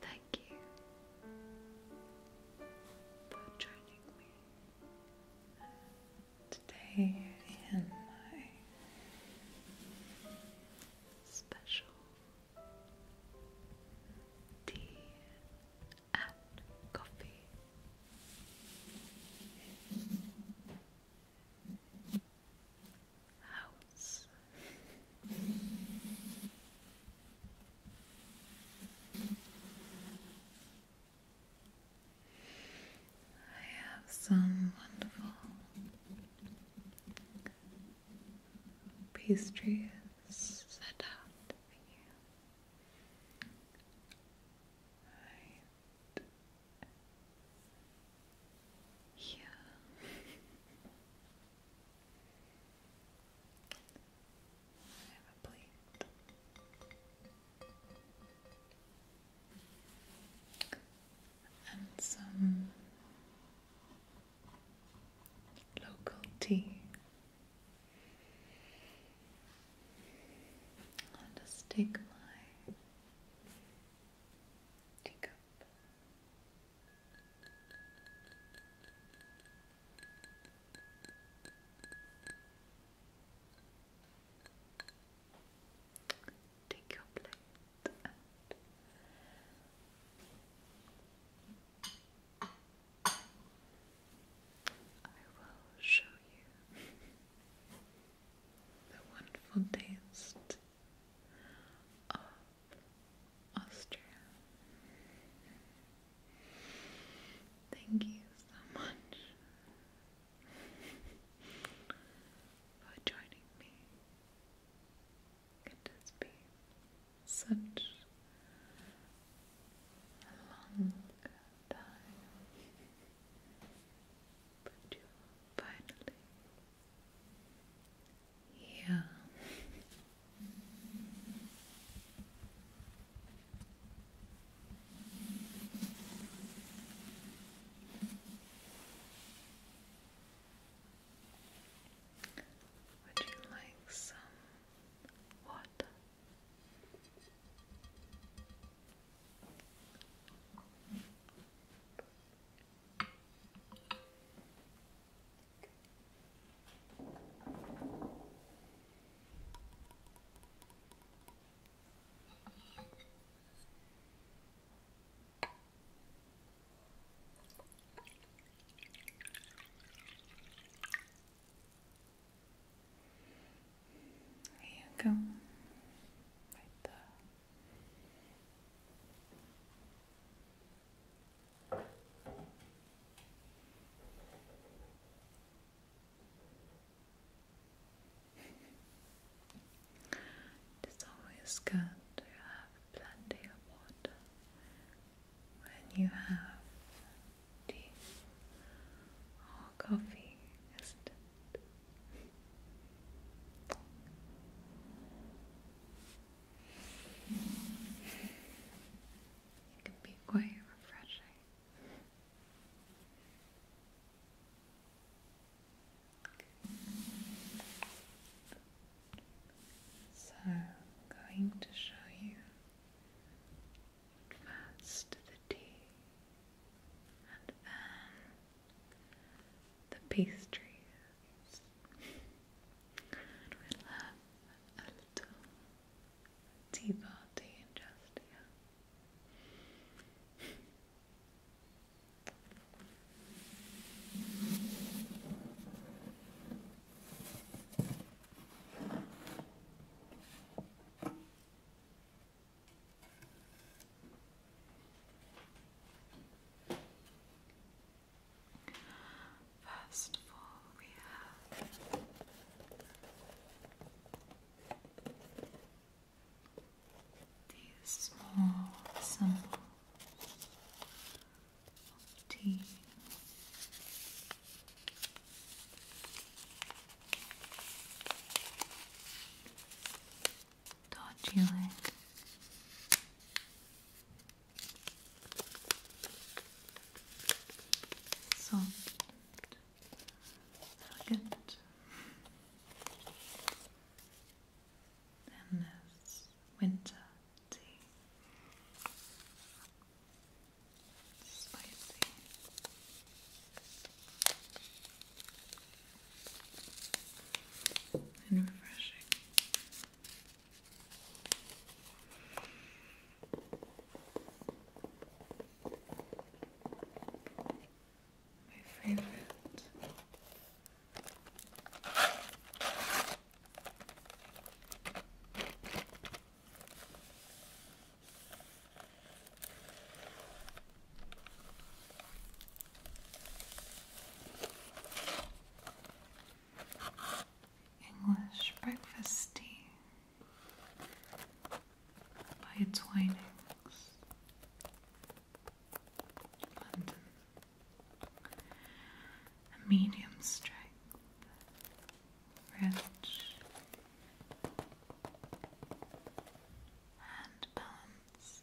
Thank you for joining me today in my special tea and coffee house. I have some wonderful pastries set out for you. Yeah. And some local tea I'll just take my teacup Take your plate I will show you the wonderful taste Austria. Thank you so much for joining me. It has been such a long time, but you finally yeah. Would you like some water? There you go. Right there. It is always good to have plenty of water when you have tea or coffee, it can be quite refreshing. So, I'm going to show you first the tea and then the pastries and we'll a little tea party in just here. First of we have these small symbols of dodgy leg. elegant. Then winter tea. Spicy. And refreshing. My favorite. English breakfast tea by its windings. London. A medium strength, rich and balanced.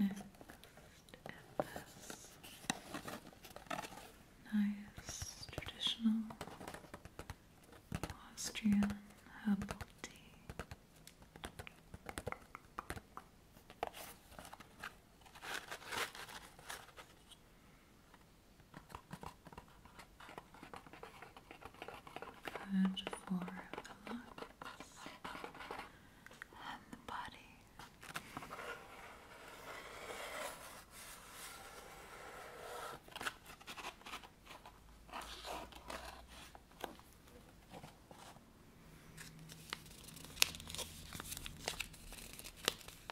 Next is nice traditional Austrian herbal tea. Good for the lungs and the body.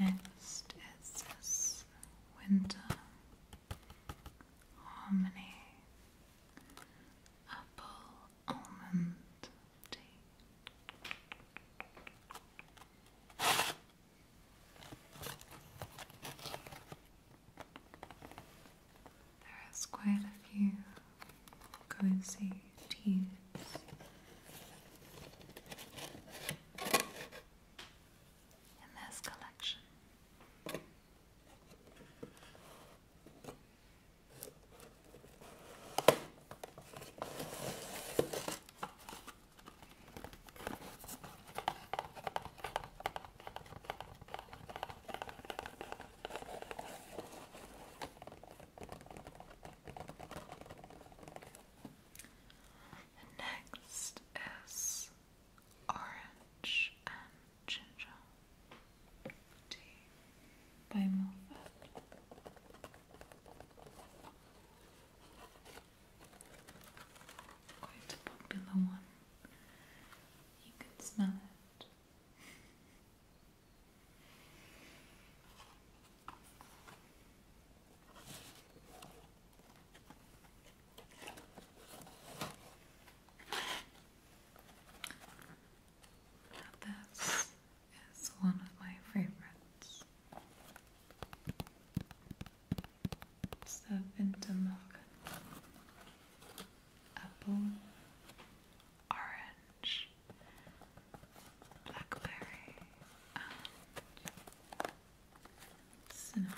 Next is winter harmony apple almond tea. There is quite a few cozy teas in this collection next is Orange and Ginger Tea by Moffat. Quite a popular one. You can smell it. This is one of my favorites. Serpentamok apple orange blackberry, um, cinnamon.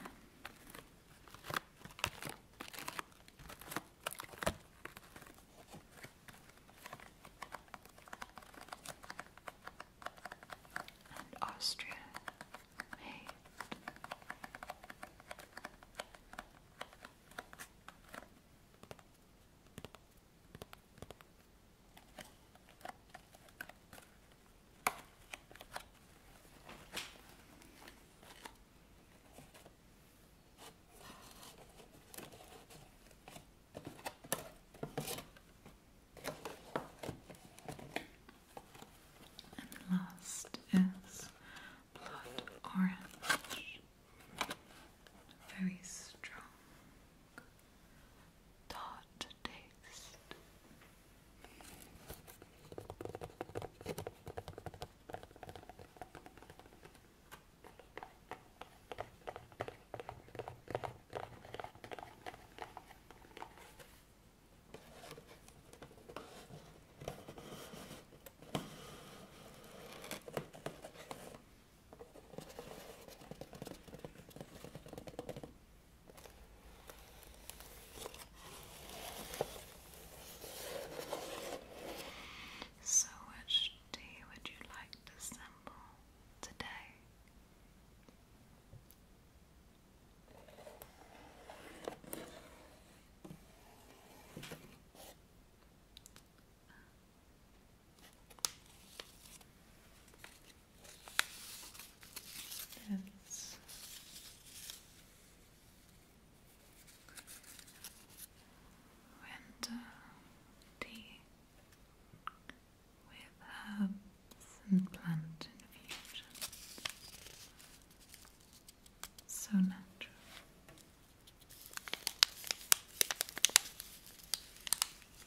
And Austria and last is blood orange. Very strong tart taste. So, which tea would you like to sample today? That's winter with herbs and plant So natural.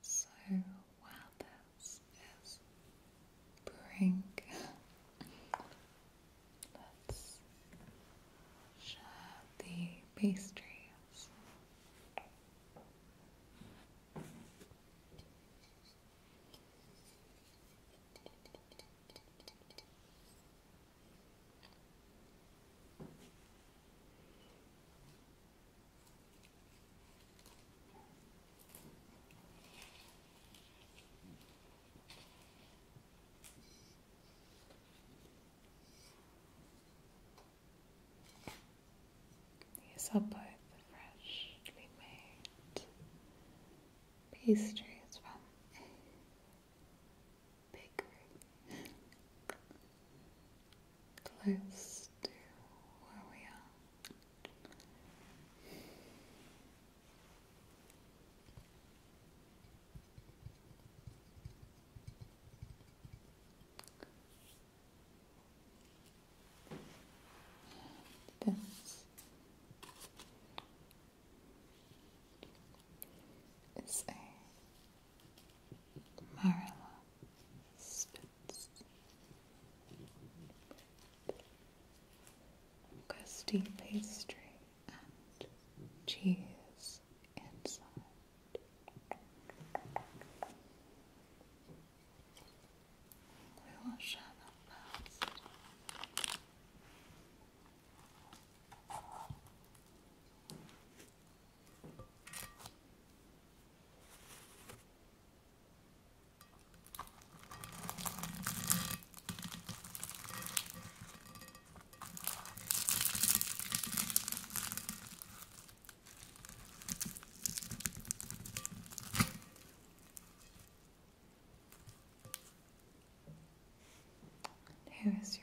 So wow, this is brink. Let's share the pastries. He's up are the fresh, made pastries from a bakery close to where we are. This is a Marilla Gusty pastry and cheese inside. We will share that first. There is yours.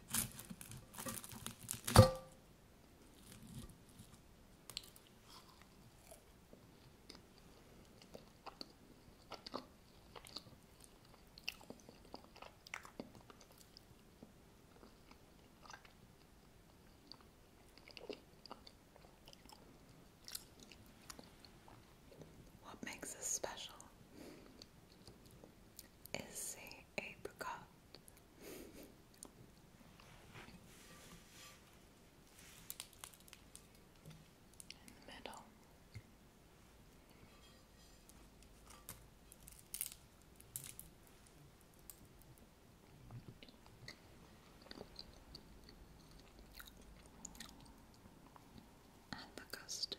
What makes us special is apricot. In the middle. And the custard.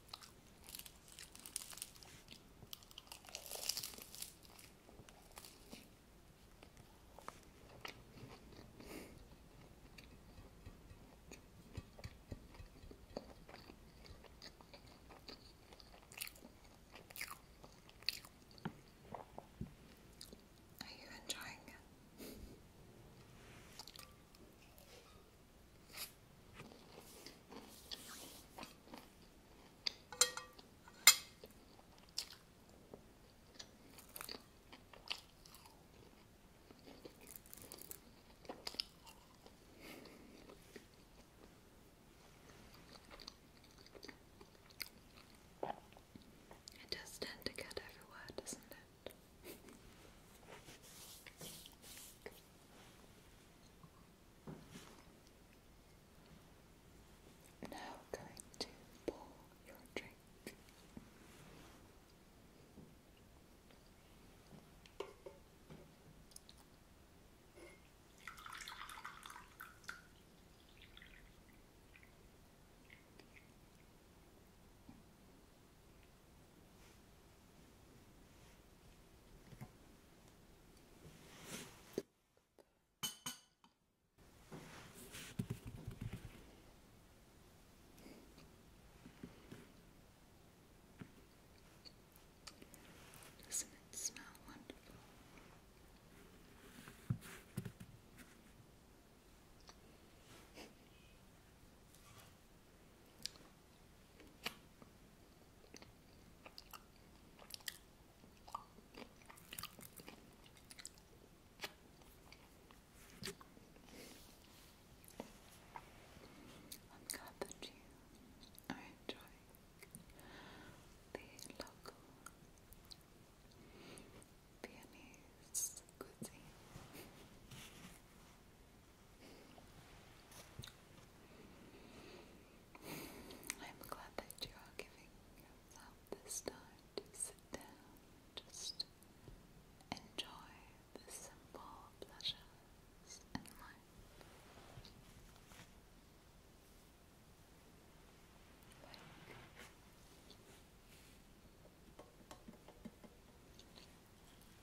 Are you enjoying it? It does tend to get everywhere, doesn't it? Now going to pour your drink. Doesn't it smell wonderful? I'm glad that you are the local Viennese cuisine. I'm glad that you are giving yourself this time to sit down, just enjoy the simple pleasures in life.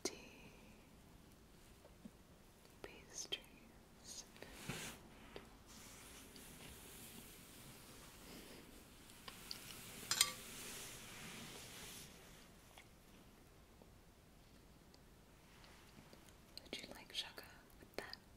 Tea, pastries. Would you like sugar with that?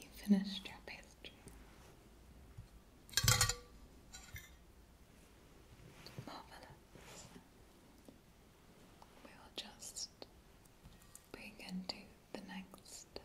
You finished your pastry. Marvelous. We will just begin to the next.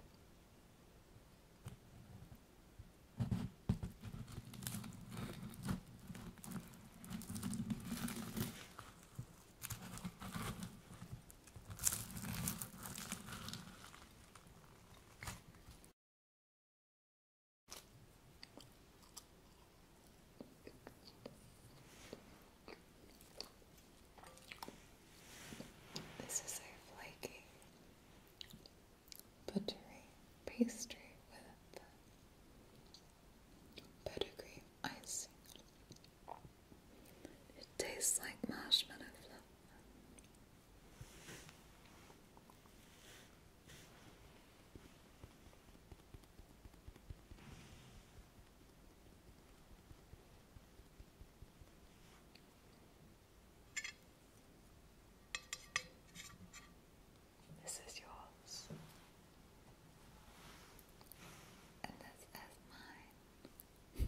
This is a flaky buttery pastry with Pedigree icing. It tastes like marshmallow this is yours. And this is mine.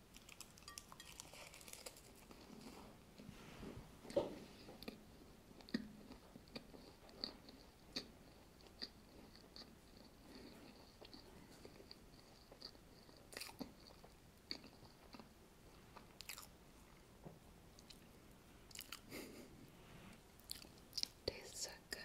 Tastes so good.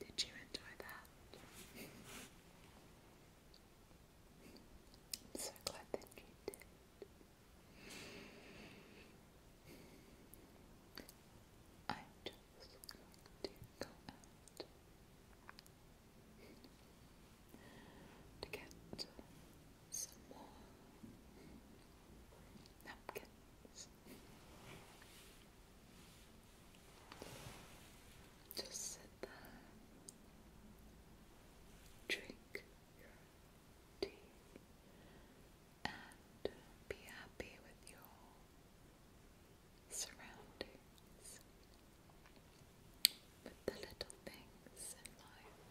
Did you enjoy that? I'm so glad that you did. I'm just going to go out to get some more napkins. Just sit there, drink your tea, and be happy with your surroundings, with the little things in life.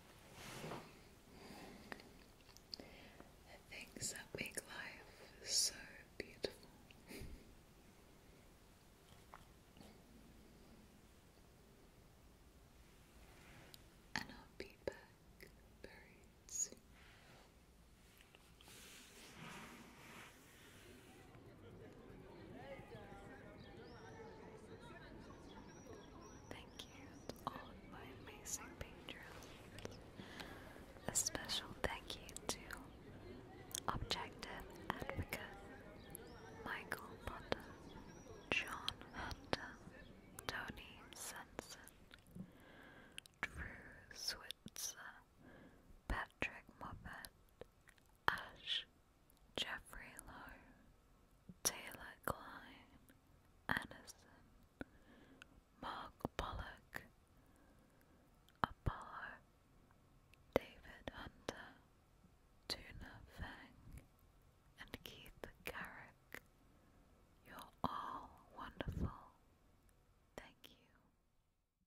The things that make life so beautiful. and I'll be back very soon. Thank you to all my amazing patrons. A special thank you to Objective Advocate, Michael Potter, John Hunter, Tony Sensen, Drew Switzer, Patrick Moffat, Ash, Jeffrey Lowe, Taylor Klein, Anderson, Mark Pollock, Apollo, David Hunter, Tuna Fang, and Keith Garrick. You're all wonderful. Thank you.